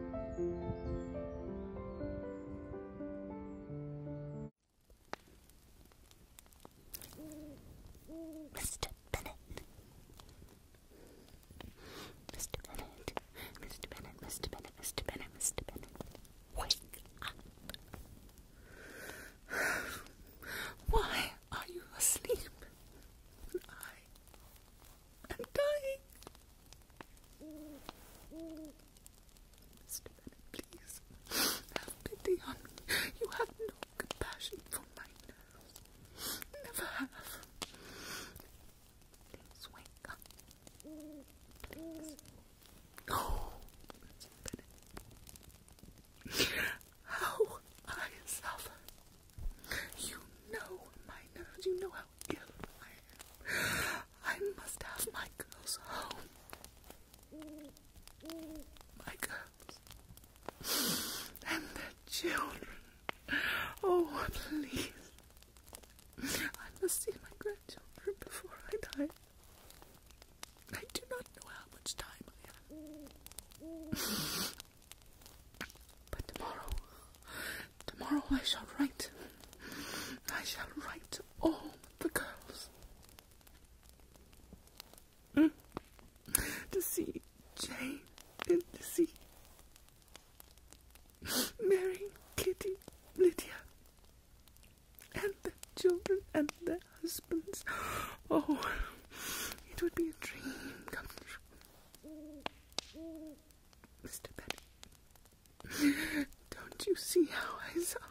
Mr. Bennett. Mr. Bennett. Mr. Bennett, Mr. Bennett, Mr. Bennett, Mr. Bennett. Wake up. Why are you asleep? I'm dying. Mr. Bennett, please have pity on me. You have no compassion for my nerves. Never have. Please wake up. Please. Oh, Mr. Bennett. How I suffer. You know my nerves. You know how. I must have my girls home. My girls and their children. Oh, please. I must see my grandchildren before I die. I do not know how much time I have. But tomorrow, tomorrow I shall write. I shall write to all the girls. Mm, to see Jane and to see Mary, Kitty, Lydia, and the children and their husbands. Oh, it would be a dream come true. Mr. Petty. Don't you see how I suffer?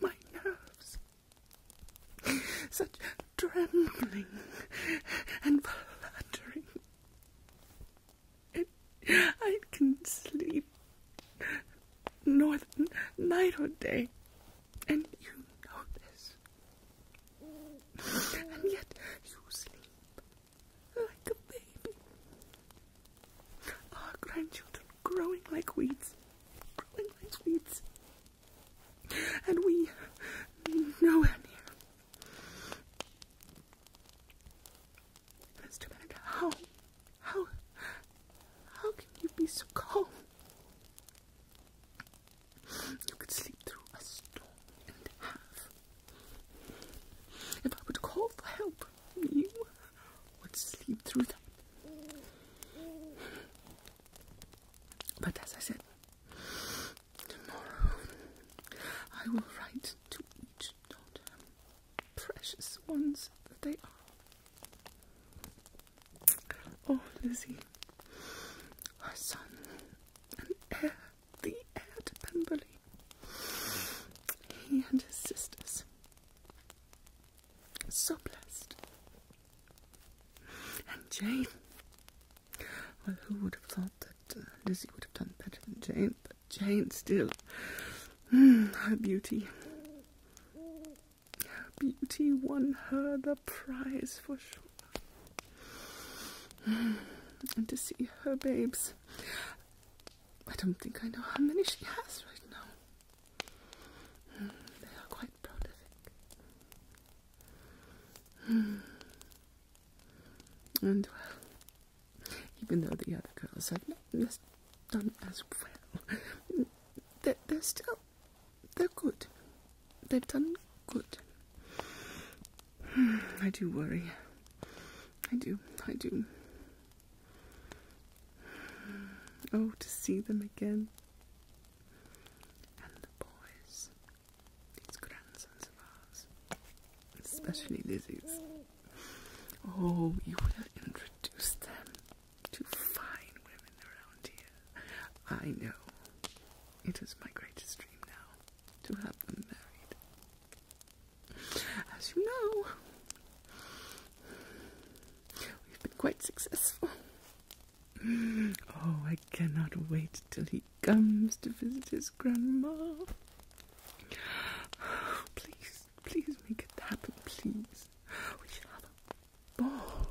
My nerves. Such trembling and fluttering. It, I can sleep north night or day, and you know this and yet you sleep like a baby. Our grandchildren growing like weeds, growing like weeds, and we know near. Mr. Bennet, how, how, how can you be so calm? You could sleep through a storm and have. If I would call for help, you would sleep through that. But as I said, tomorrow I will write to each daughter, precious ones that they are. Oh, Lizzie, her son, an heir the heir to Pemberley. He and his sisters. So blessed. And Jane. Well, who would have thought that uh, Lizzie would have done better than Jane? But Jane still. Hmm, her beauty. Her beauty won her the prize for sure. and to see her babes. I don't think I know how many she has right now. Hmm, they are quite prolific. Hmm. And even though the other girls have not done as well, they're still they're good they've done good. Hmm, I do worry. I do, I do. Oh, to see them again. And the boys. These grandsons of ours. Especially Lizzie's. Oh, you would have introduced them to fine women around here. I know. It is my greatest dream now to have them married. As you know, we've been quite successful. Oh, I cannot wait till he comes to visit his grandma. Please, please make it happen, please. We shall have a ball.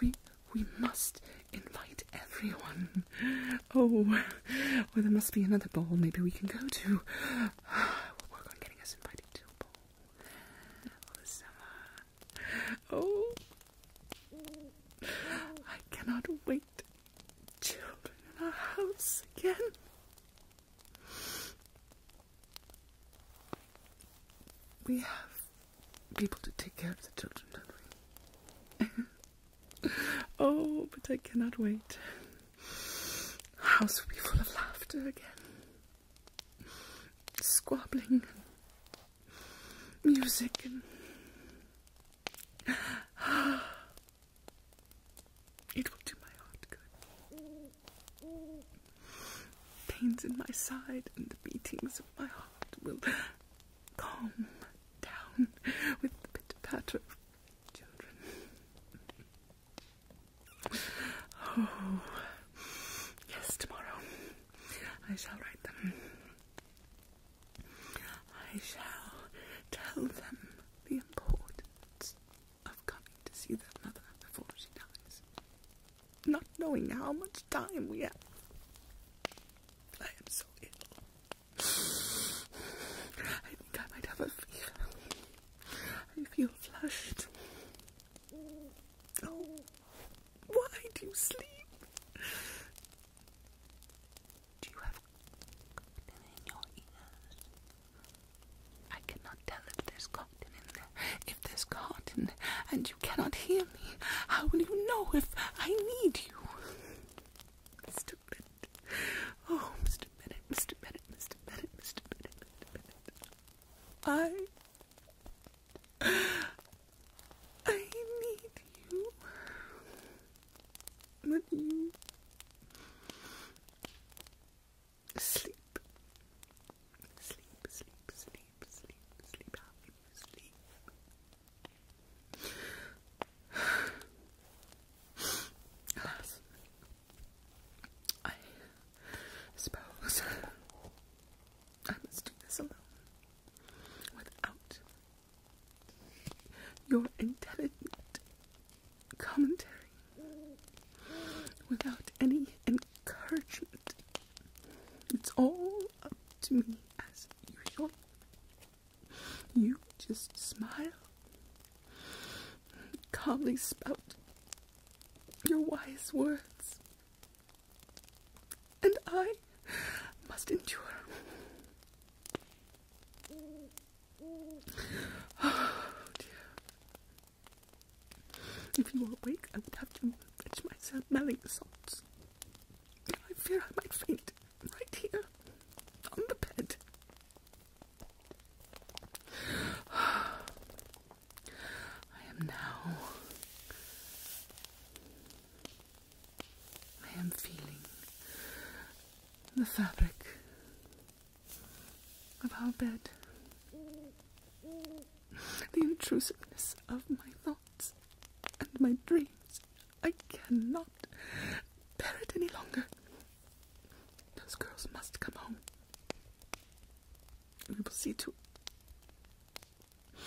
We we must invite everyone. Oh, well, there must be another ball maybe we can go to. We'll work on getting us invited to ball for summer. Oh, I cannot wait. Children in our house again. We have people to take care of the children, don't we? Oh, but I cannot wait. The house will be full of laughter again. Squabbling, music, and it will do my heart good. Pains in my side and the beatings of my heart will calm down with the pitter patter of children. Oh, yes, tomorrow I shall write them. I shall tell them the importance of coming to see their mother before she dies, not knowing how much time we have. I am so ill. I think I might have a fever. I feel flushed. Oh, why do you sleep? Do you have cotton in your ears? I cannot tell if there's cotton in there. If there's cotton and you cannot hear me, how will you know if I need you? Stupid oh, Mr. Bennett, Mr. Bennett, Mr. Bennett, Mr. Bennett, Mr. Bennett. I, I need you. But you sleep, sleep, sleep, sleep, sleep, sleep, sleep, sleep. Alas, I suppose I must do this alone without your intelligent commentary, without any encouragement. It's all up to me as usual. You just smile, calmly spout your wise words, and I must endure. Oh dear. If you were awake, I would have to fetch myself smelling salts. I fear I might faint right here on the bed. I am now. I am feeling the fabric of our bed, the intrusiveness of my thoughts and my dreams I cannot bear it any longer. Those girls must come home. We will see to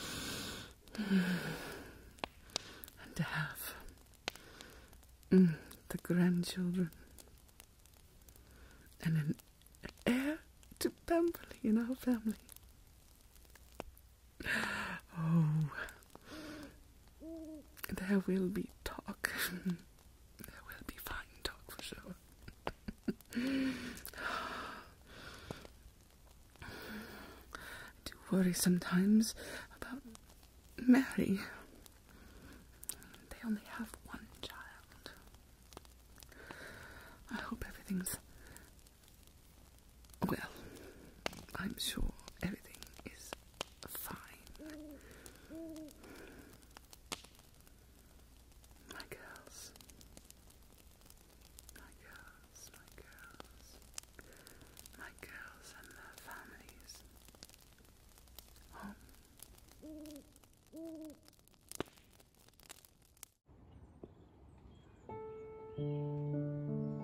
and to have mm, the grandchildren and an heir to Pemberley in our family. Oh, there will be talk. there will be fine talk for sure. I do worry sometimes about Mary. They only have one child. I hope everything's well. I'm sure everything is fine. My girls. My girls, my girls. My girls and their families. Home.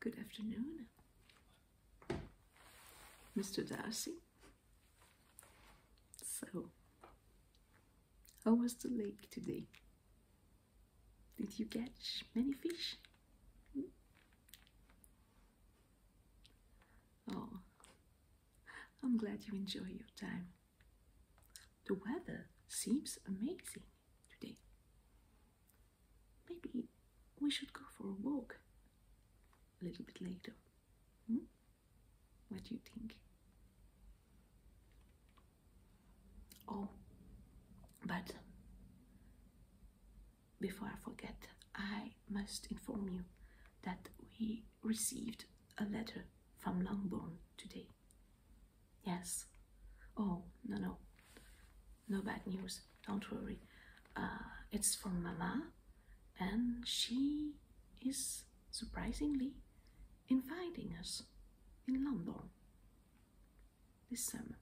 Good afternoon, Mr. Darcy. So, how was the lake today? Did you catch many fish? Oh, I'm glad you enjoy your time. The weather seems amazing today. Maybe we should go for a walk a little bit later. Hmm? What do you think? Oh, but before I forget, I must inform you that we received a letter from Longbourn today. Yes. Oh, no, no. No bad news. Don't worry. Uh, it's from Mama, and she is surprisingly inviting us in London this summer.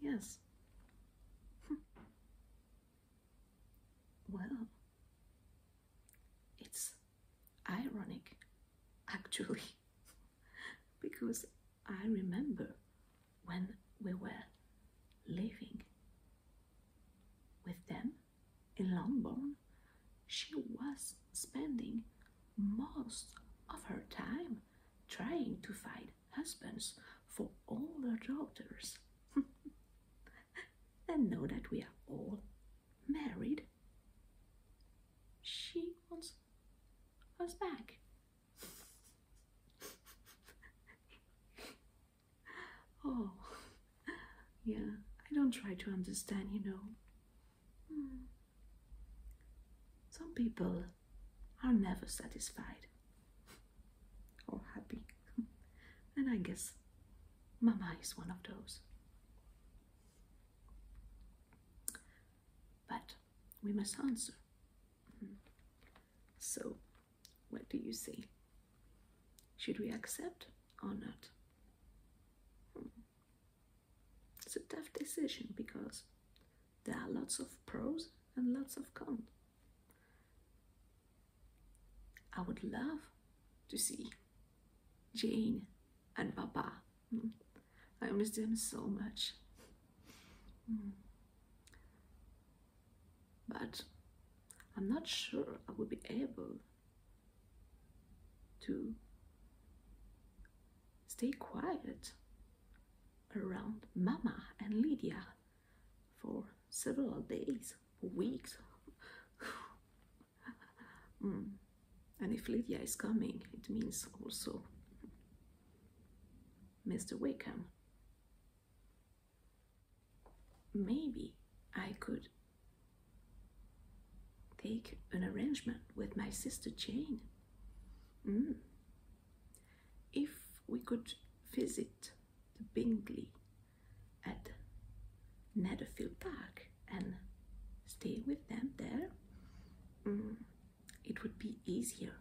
Yes. Hmm. well, it's ironic actually, because I remember when we were living with them in Longbourn, she was spending most of her time trying to find husbands for all her daughters. and now that we are all married, she wants us back. oh, yeah, I don't try to understand, you know. Hmm. Some people are never satisfied or happy, and I guess Mama is one of those. But we must answer. Hmm. So, what do you say? Should we accept or not? Hmm. It's a tough decision because there are lots of pros and lots of cons. I would love to see Jane and Papa. Hmm. I miss them so much. Hmm. But I'm not sure I would be able to stay quiet around Mama and Lydia for several days, weeks. Mm. And if Lydia is coming, it means also Mr. Wickham. Maybe I could take an arrangement with my sister Jane. Mm. If we could visit the Bingley at Netherfield Park and stay with them there, mm, it would be easier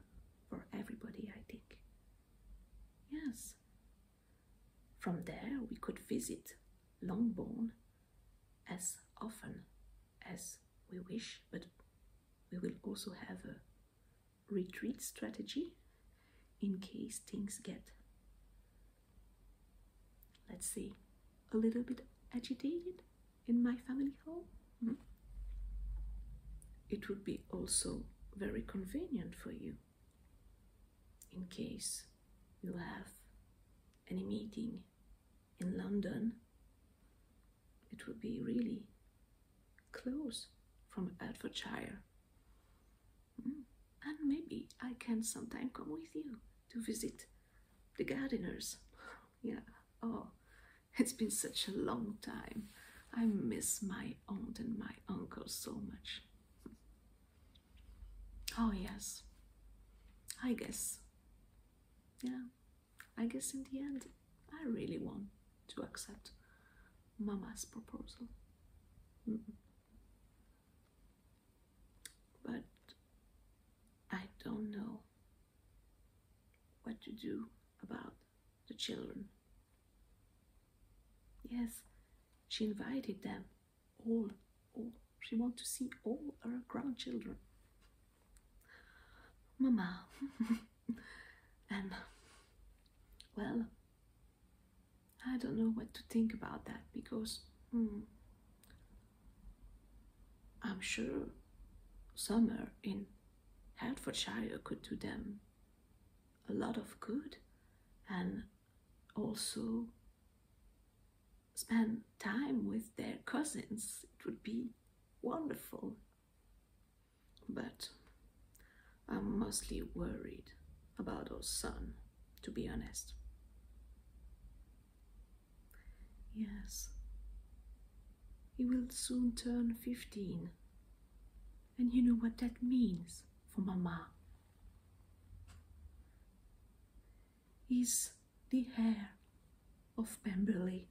for everybody, I think. Yes. From there, we could visit Longbourn as often as we wish, but we will also have a retreat strategy in case things get, let's see, a little bit agitated in my family home. Hmm? It would be also very convenient for you in case you have any meeting in London, it would be really close from Hertfordshire. Hmm. And maybe I can sometime come with you to visit the gardeners. yeah, oh, it's been such a long time. I miss my aunt and my uncle so much. Oh, yes, I guess. Yeah, I guess in the end, I really want to accept Mama's proposal. But I don't know what to do about the children. Yes, she invited them all, all. She wants to see all her grandchildren. Mama. and, well, I don't know what to think about that because hmm, I'm sure summer in Hertfordshire could do them a lot of good and also spend time with their cousins. It would be wonderful, but I'm mostly worried about our son, to be honest. Yes, he will soon turn 15, and you know what that means for Mama. He's the heir of Pemberley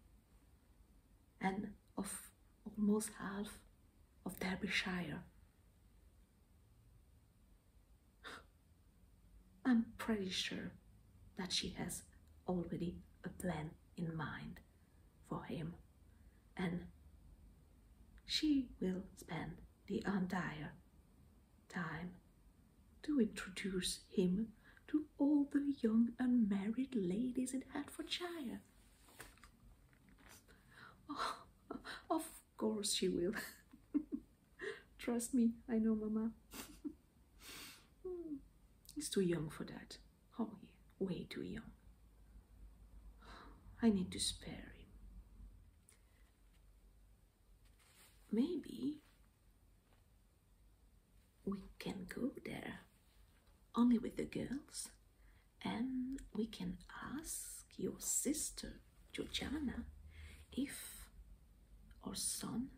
and of almost half of Derbyshire. I'm pretty sure that she has already a plan in mind for him and she will spend the entire time to introduce him to all the young unmarried ladies in Hertfordshire. Oh, of course she will. Trust me, I know, Mama. Hmm. He's too young for that. Oh, way too young. I need to spare him. Maybe we can go there only with the girls, and we can ask your sister, Georgiana, if our son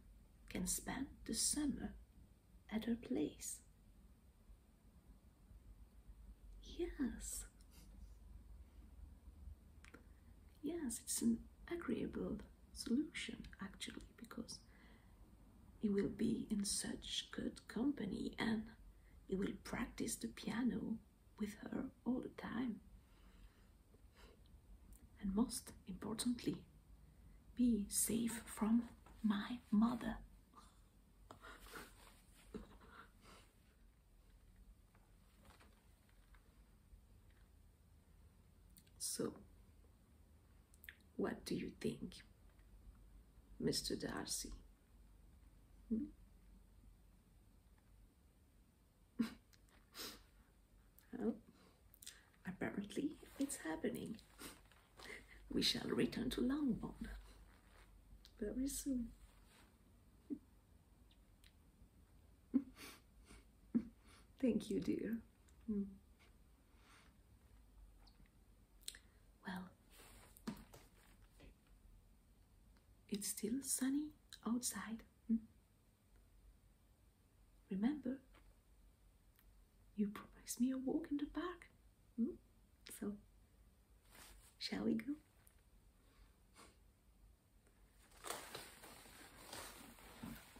can spend the summer at her place. Yes. Yes, it's an agreeable solution actually because he will be in such good company and he will practice the piano with her all the time. And most importantly, be safe from my mother. So, what do you think, Mr. Darcy? well, apparently it's happening. We shall return to Longbourn very soon. Thank you, dear. Hmm. Well, it's still sunny outside. Hmm. Remember, you promised me a walk in the park. Hmm. So, shall we go?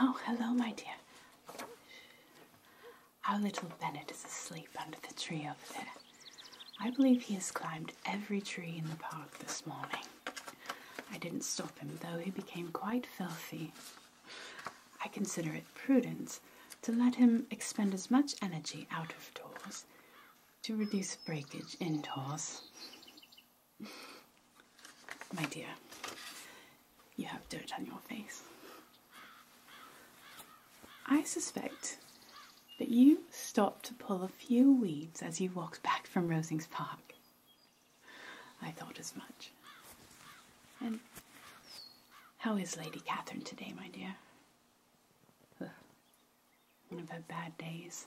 Oh, hello, my dear. Our little Bennett is asleep under the tree over there. I believe he has climbed every tree in the park this morning. I didn't stop him, though he became quite filthy. I consider it prudent to let him expend as much energy out of doors to reduce breakage indoors. My dear, you have dirt on your face. I suspect that you stopped to pull a few weeds as you walked back from Rosings Park. I thought as much. And how is Lady Catherine today, my dear? One of her bad days.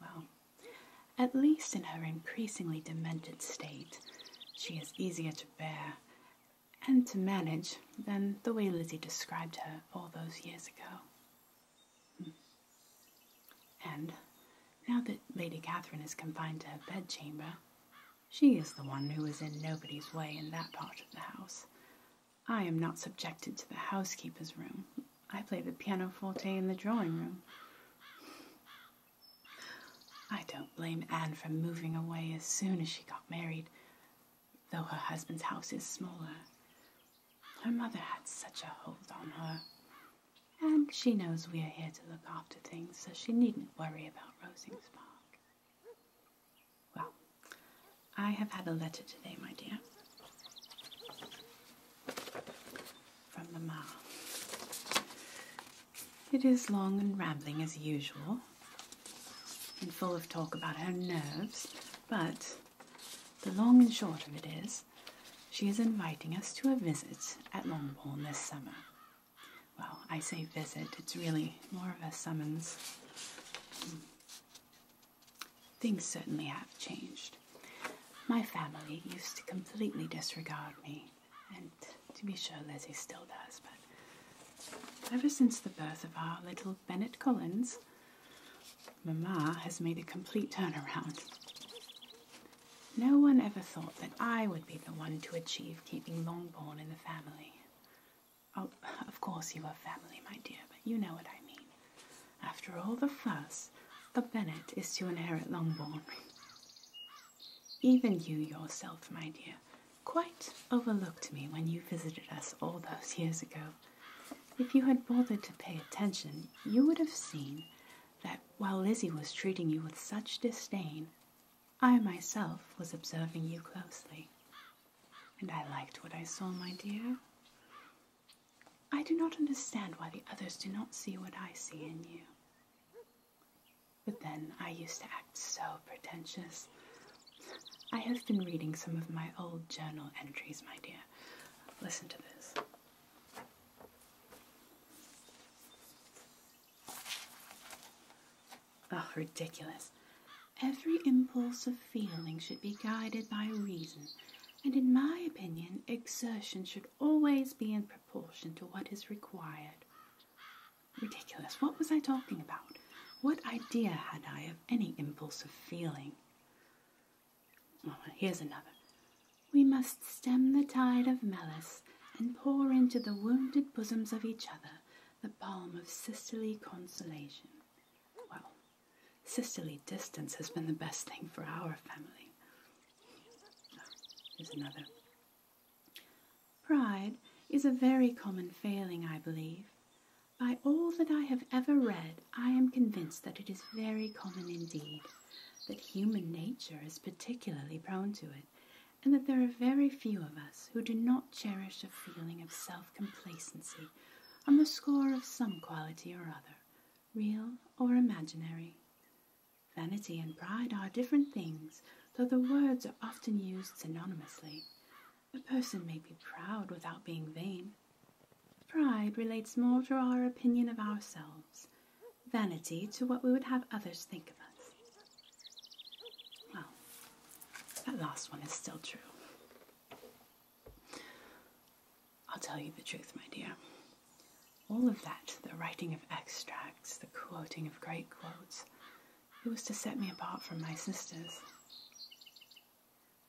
Well, at least in her increasingly demented state, she is easier to bear and to manage than the way Lizzie described her all those years ago. Hmm. And now that Lady Catherine is confined to her bedchamber, she is the one who is in nobody's way in that part of the house, I am not subjected to the housekeeper's room. I play the pianoforte in the drawing room. I don't blame Anne for moving away as soon as she got married, though her husband's house is smaller. Her mother had such a hold on her. And she knows we are here to look after things, so she needn't worry about Rosings Park. Well, I have had a letter today, my dear, from Mamma. It is long and rambling as usual, and full of talk about her nerves, but the long and short of it is, she is inviting us to a visit at Longbourn this summer. Well, I say visit, it's really more of a summons. Things certainly have changed. My family used to completely disregard me, and to be sure, Lizzie still does, but ever since the birth of our little Bennett Collins, Mamma has made a complete turnaround. No one ever thought that I would be the one to achieve keeping Longbourn in the family. Oh, of course you are family, my dear, but you know what I mean. After all the fuss, the Bennet is to inherit Longbourn. Even you yourself, my dear, quite overlooked me when you visited us all those years ago. If you had bothered to pay attention, you would have seen that while Lizzie was treating you with such disdain, I myself was observing you closely. And I liked what I saw, my dear. I do not understand why the others do not see what I see in you. But then I used to act so pretentious. I have been reading some of my old journal entries, my dear. Listen to this. Oh, ridiculous. Every impulse of feeling should be guided by reason, and in my opinion, exertion should always be in proportion to what is required. Ridiculous. What was I talking about? What idea had I of any impulse of feeling? here's another. We must stem the tide of malice and pour into the wounded bosoms of each other the balm of sisterly consolation. Well, Sisterly distance has been the best thing for our family. Oh, here's another. Pride is a very common failing, I believe. By all that I have ever read, I am convinced that it is very common indeed, that human nature is particularly prone to it, and that there are very few of us who do not cherish a feeling of self complacency on the score of some quality or other, real or imaginary. Vanity and pride are different things, though the words are often used synonymously. A person may be proud without being vain. Pride relates more to our opinion of ourselves, vanity to what we would have others think of us. Well, that last one is still true. I'll tell you the truth, my dear. All of that, the writing of extracts, the quoting of great quotes, it was to set me apart from my sisters.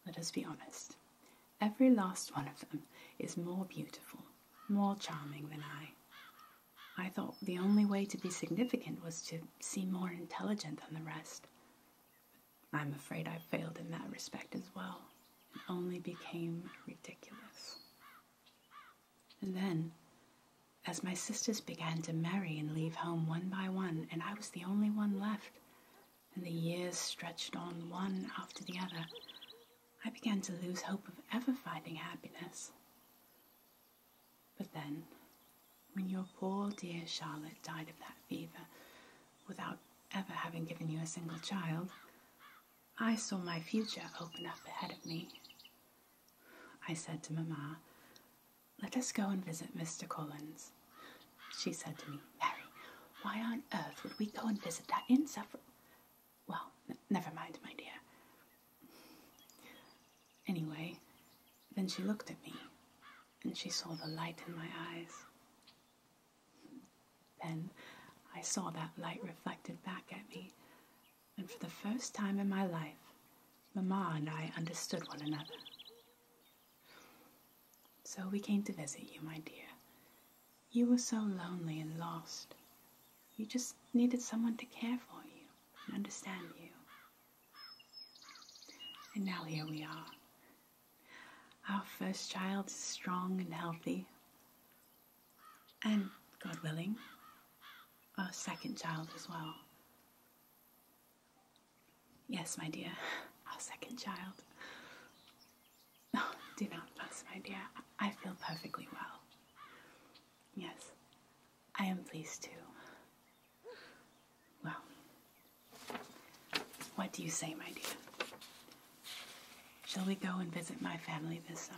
Let us be honest. Every last one of them is more beautiful, more charming than I. I thought the only way to be significant was to seem more intelligent than the rest. I'm afraid I failed in that respect as well. It only became ridiculous. And then, as my sisters began to marry and leave home one by one, and I was the only one left, and the years stretched on one after the other, I began to lose hope of ever finding happiness. But then, when your poor dear Charlotte died of that fever without ever having given you a single child, I saw my future open up ahead of me. I said to Mamma, Let us go and visit Mr. Collins. She said to me, Mary, why on earth would we go and visit that insufferable? Well, never mind, my dear. Anyway, then she looked at me and she saw the light in my eyes. Then I saw that light reflected back at me, and for the first time in my life, Mamma and I understood one another. So we came to visit you, my dear. You were so lonely and lost. You just needed someone to care for you and understand you. And now here we are, our first child is strong and healthy. And, God willing, our second child as well. Yes, my dear, our second child. No, oh, do not fuss, my dear. I feel perfectly well. Yes, I am pleased too. Well, what do you say, my dear? Shall we go and visit my family this summer?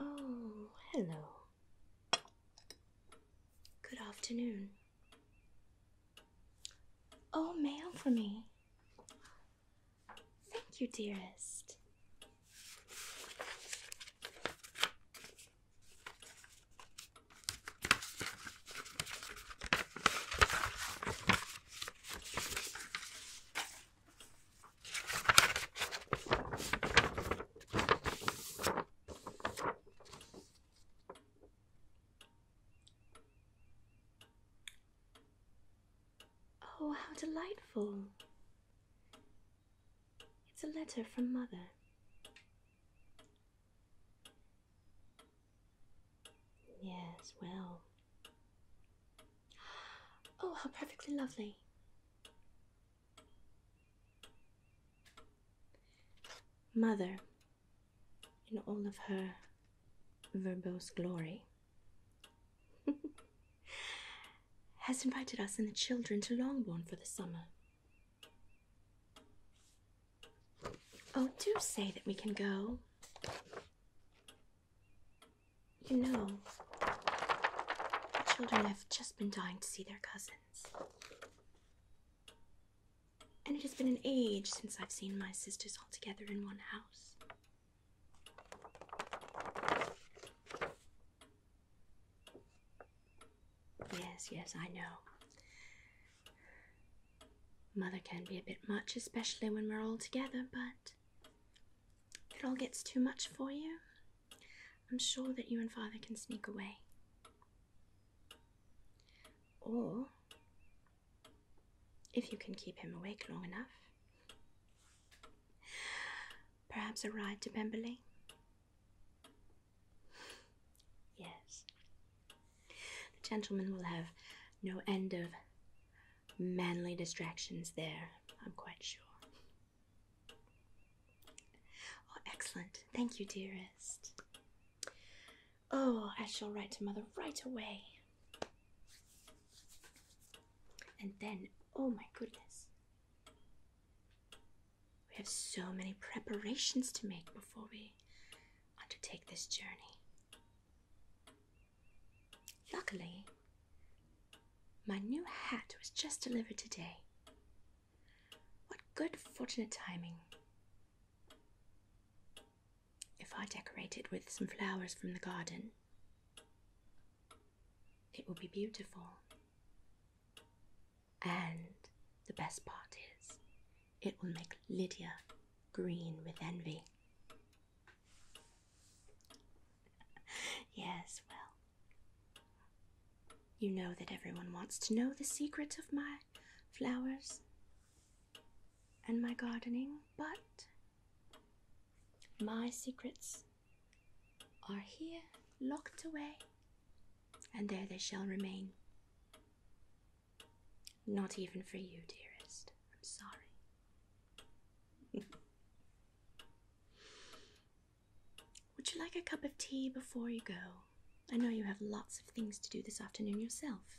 Oh, hello. Good afternoon. Oh, mail for me. Thank you, dearest. Oh, how delightful! It's a letter from Mother. Yes, well. Oh, how perfectly lovely. Mother, in all of her verbose glory, has invited us and the children to Longbourn for the summer. Oh, do say that we can go. You know, the children have just been dying to see their cousins and it has been an age since I've seen my sisters all together in one house. Yes, yes, I know. Mother can be a bit much, especially when we're all together, but it all gets too much for you, I'm sure that you and Father can sneak away. Or if you can keep him awake long enough. Perhaps a ride to Pemberley? Yes. The gentleman will have no end of manly distractions there, I'm quite sure. Oh, excellent. Thank you, dearest. Oh, I shall write to mother right away. And then, oh my goodness, we have so many preparations to make before we undertake this journey. Luckily, my new hat was just delivered today. What good fortunate timing! If I decorate it with some flowers from the garden, it will be beautiful. And the best part is, it will make Lydia green with envy. yes, well, you know that everyone wants to know the secret of my flowers and my gardening, but my secrets are here locked away, and there they shall remain. Not even for you, dearest. I'm sorry. Would you like a cup of tea before you go? I know you have lots of things to do this afternoon yourself.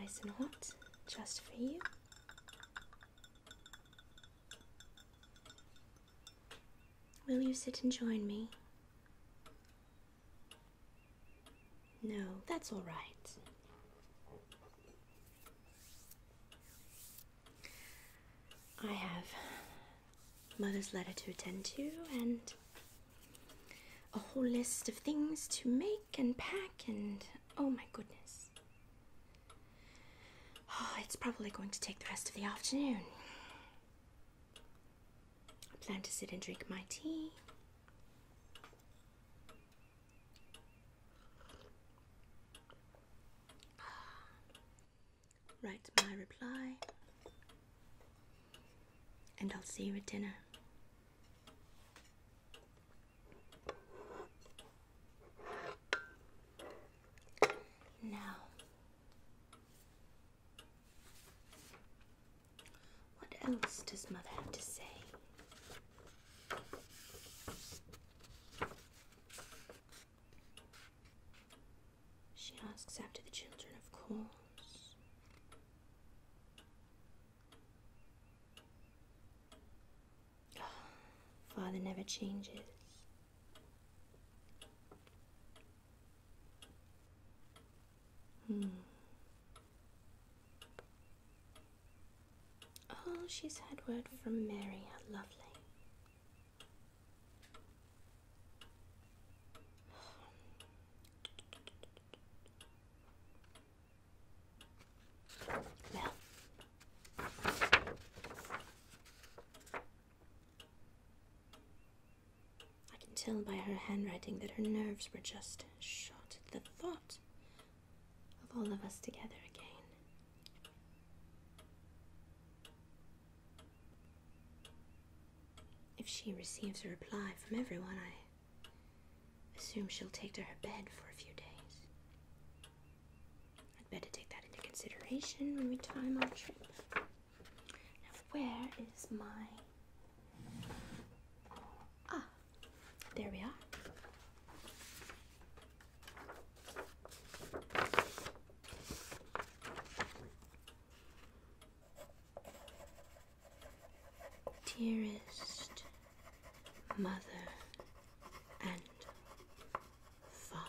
Nice and hot, just for you. Will you sit and join me? No, that's all right. I have mother's letter to attend to and a whole list of things to make and pack and oh my goodness. it's probably going to take the rest of the afternoon. I plan to sit and drink my tea. Write my reply, and I'll see you at dinner. Now, what else does Mother have to say? She asks after the children, of course. Father never changes. Hmm. Oh, she's had word from Mary, how lovely. Well, I can tell by her handwriting that her nerves were just shot at the thought of all of us together again. If she receives a reply from everyone, I assume she'll take to her bed for a few days. I'd better take that into consideration when we time our trip. Now, where is my. Ah, there we are. Dearest mother and father,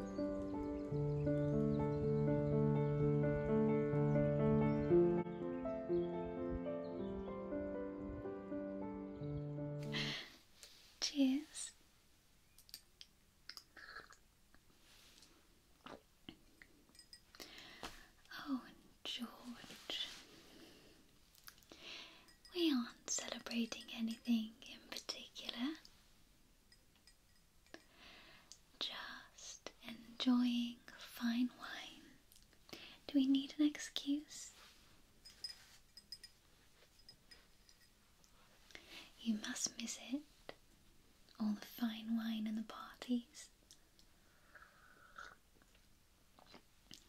Cheers. Oh, George. We aren't celebrating anything in particular. Just enjoying fine wine. Do we need an excuse? You must miss it. All the fine wine and the parties.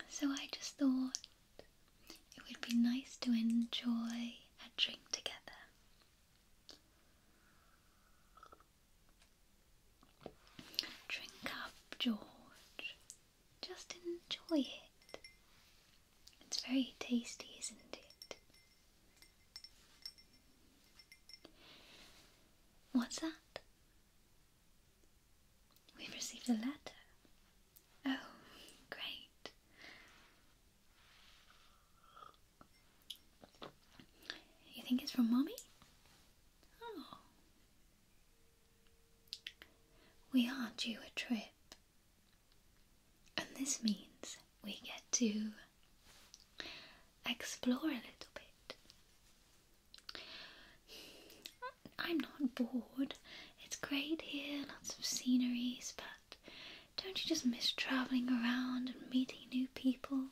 So I just thought it would be nice to enjoy a drink together Drink up, George. Just enjoy it. It's very tasty, isn't it? What's that? We've received a letter. Oh, great. You think it's from Mommy? Oh. We are due a trip. And this means we get to explore a little bit. I'm not bored. It's great here, lots of sceneries, but don't you just miss travelling around and meeting new people?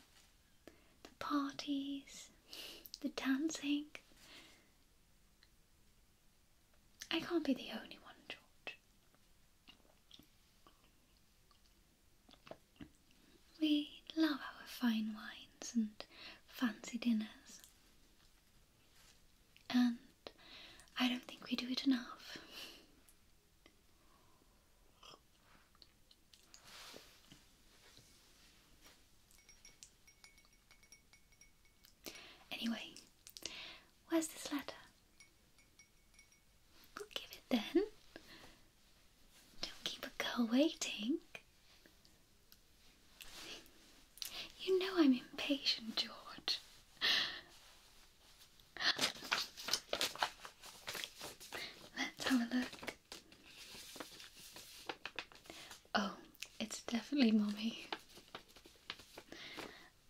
The parties, the dancing. I can't be the only one, George. We love our fine wines and fancy dinners. And I don't think we do it enough. Anyway, where's this letter? I'll give it then. Don't keep a girl waiting. You know I'm impatient, George. Let's have a look. Oh, it's definitely Mommy.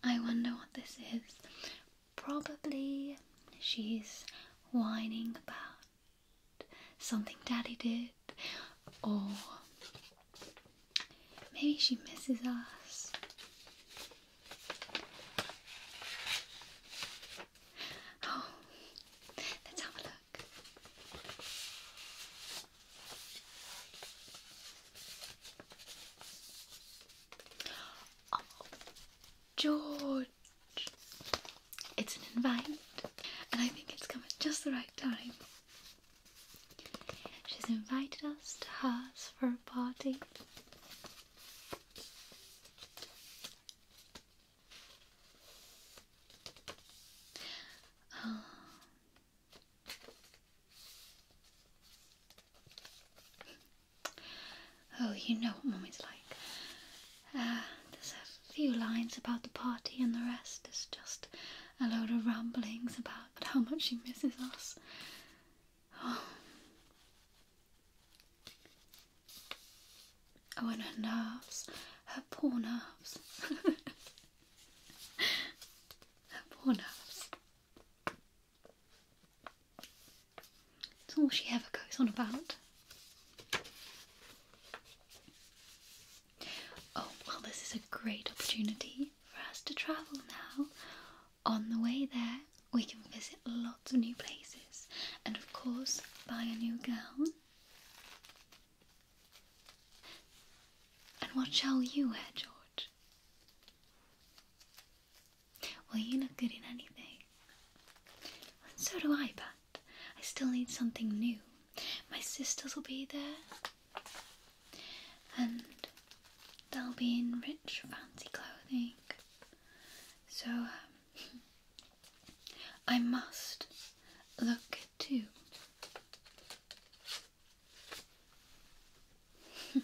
I wonder what this is. Probably she's whining about something Daddy did, or maybe she misses us. Oh, let's have a look. Oh, George, it's an invite, and I think it's coming just the right time. She's invited us to hers for a party. Oh. you know what mom is like. Uh, there's a few lines about the party, and the rest is just a load of ramblings about how much she misses us. Oh. Oh, and her nerves, her poor nerves. her poor nerves. It's all she ever goes on about. Oh, well, this is a great opportunity for us to travel now on the way there, we can visit lots of new places and, of course, buy a new gown. And what shall you wear, George? Well, you look good in anything. And so do I, but I still need something new. My sisters will be there, and they'll be in rich, fancy clothing. So um, I must look too. They're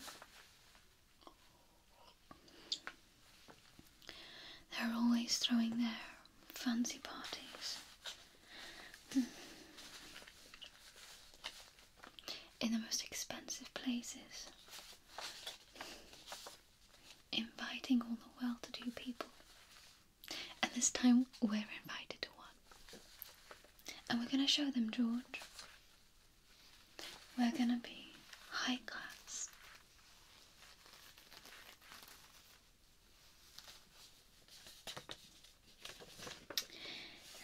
always throwing their fancy parties. In the most expensive places inviting all the well to do people. And this time we're invited to one. And we're going to show them, George. We're going to be high class.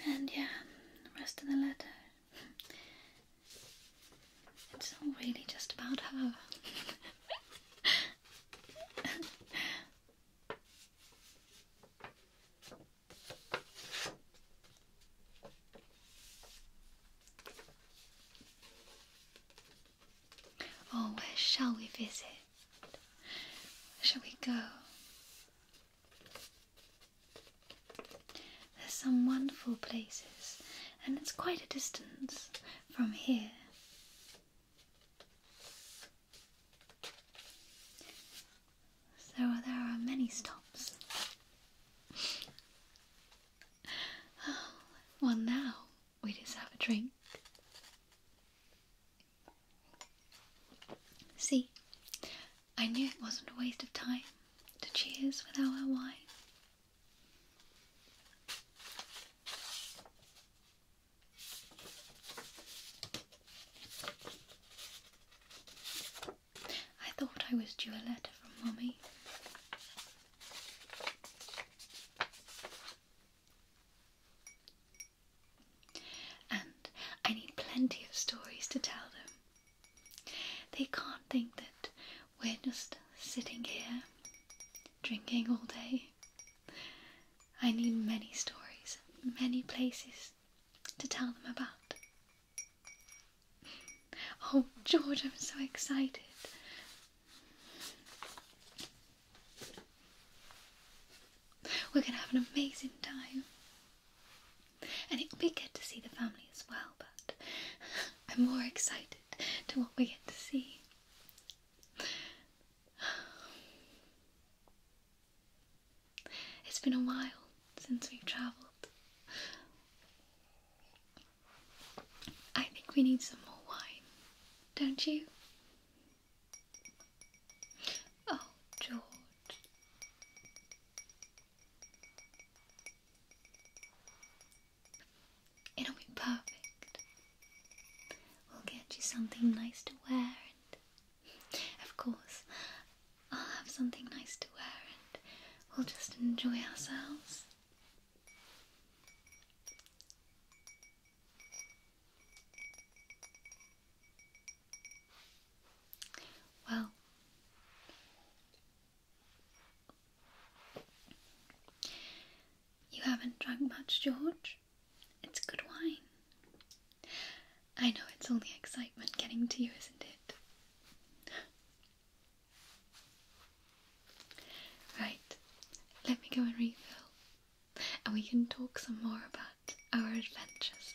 And yeah, rest of the letter it's all really just about her. oh, where shall we visit? Where shall we go? There's some wonderful places, and it's quite a distance from here. So there are many stops. well, now we just have a drink. See, I knew it wasn't a waste of time to cheers with our wine. I thought I was due a letter from mommy, And I need plenty of stories to tell them. They can't think that we're just sitting here drinking all day. I need many stories, many places to tell them about. Oh, George, I'm so excited. We're going to have an amazing time. And it'll be good to see the family as well, but I'm more excited to what we get to see. It's been a while since we've travelled. I think we need some more wine, don't you? Oh, George. It'll be perfect. We'll get you something nice to wear, and of course, I'll have something nice to wear, and we'll just enjoy ourselves. Well, you haven't drunk much, George. It's good wine. I know it's only excitement getting to you, isn't it? right, let me go and refill, and we can talk some more about our adventures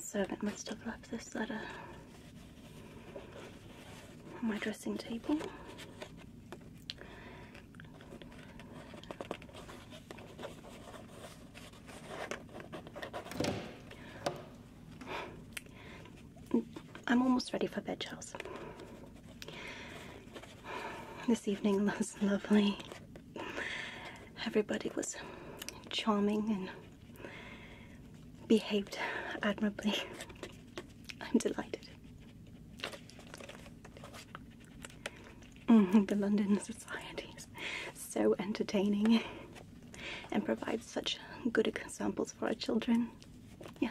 Servant must have left this letter on my dressing table. I'm almost ready for bed, Charles. This evening was lovely. Everybody was charming and behaved admirably. I'm delighted. Mm-hmm, the London Society is so entertaining and provides such good examples for our children. Yeah.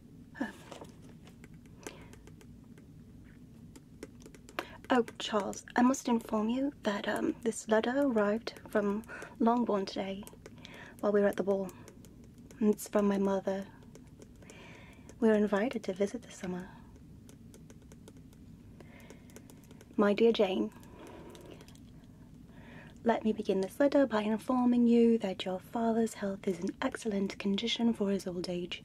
Oh, Charles, I must inform you that um, this letter arrived from Longbourn today while we were at the ball. It's from my mother. We were invited to visit this summer. My dear Jane, let me begin this letter by informing you that your father's health is in excellent condition for his old age.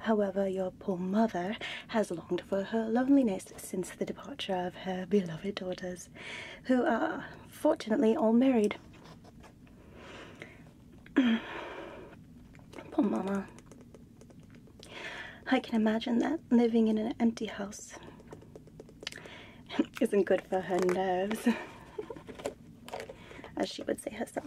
However, your poor mother has longed for her loneliness since the departure of her beloved daughters, who are fortunately all married. poor mama! I can imagine that living in an empty house isn't good for her nerves, as she would say herself.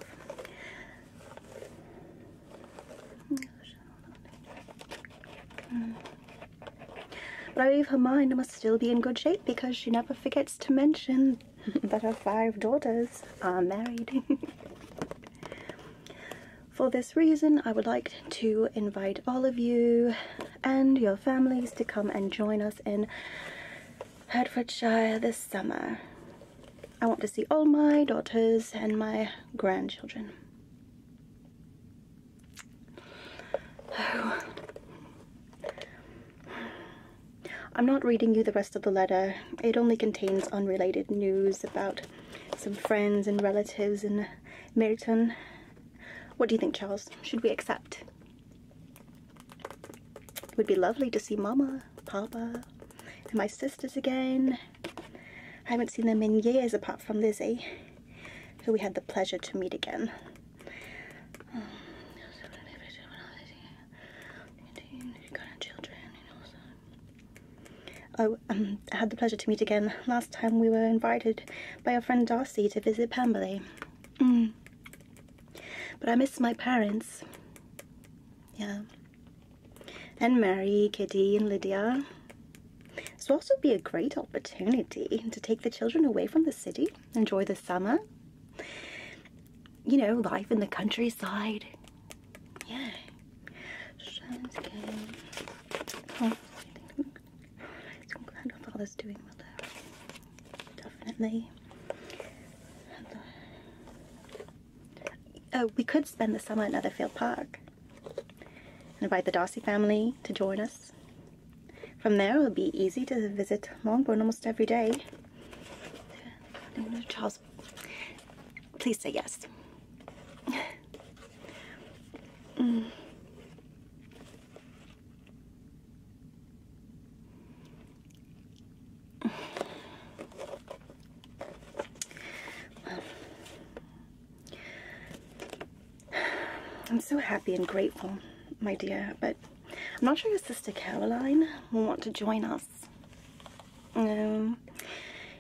But I believe her mind must still be in good shape because she never forgets to mention that her five daughters are married. For this reason, I would like to invite all of you and your families to come and join us in Hertfordshire this summer. I want to see all my daughters and my grandchildren. Oh. I'm not reading you the rest of the letter. It only contains unrelated news about some friends and relatives in Meryton. What do you think, Charles? Should we accept? It would be lovely to see Mama, Papa, and my sisters again. I haven't seen them in years apart from Lizzie, eh? who we had the pleasure to meet again. Oh, um, I had the pleasure to meet again last time we were invited by our friend Darcy to visit Pemberley. Mm. But I miss my parents. Yeah and Mary, Kitty and Lydia. This will also be a great opportunity to take the children away from the city, enjoy the summer, you know, life in the countryside. Yeah. Oh, I'm glad doing well Definitely. Oh, we could spend the summer at Netherfield Park invite the Darcy family to join us. From there, it'll be easy to visit Longbourn almost every day. Charles, please say yes. Mm. I'm so happy and grateful, my dear, but I'm not sure your sister Caroline will want to join us. Um,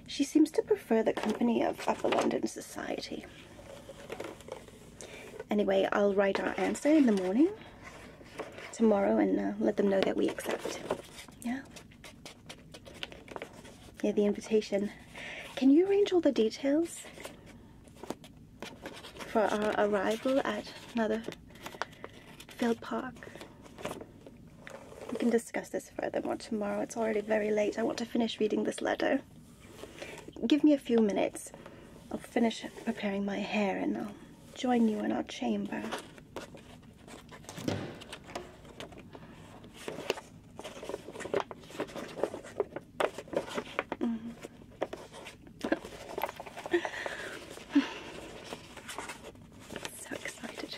she seems to prefer the company of Upper London Society. Anyway, I'll write our answer in the morning tomorrow and uh, let them know that we accept. Yeah? Yeah, the invitation. Can you arrange all the details for our arrival at another field park? We can discuss this further tomorrow. It's already very late. I want to finish reading this letter. Give me a few minutes. I'll finish preparing my hair and I'll join you in our chamber so excited.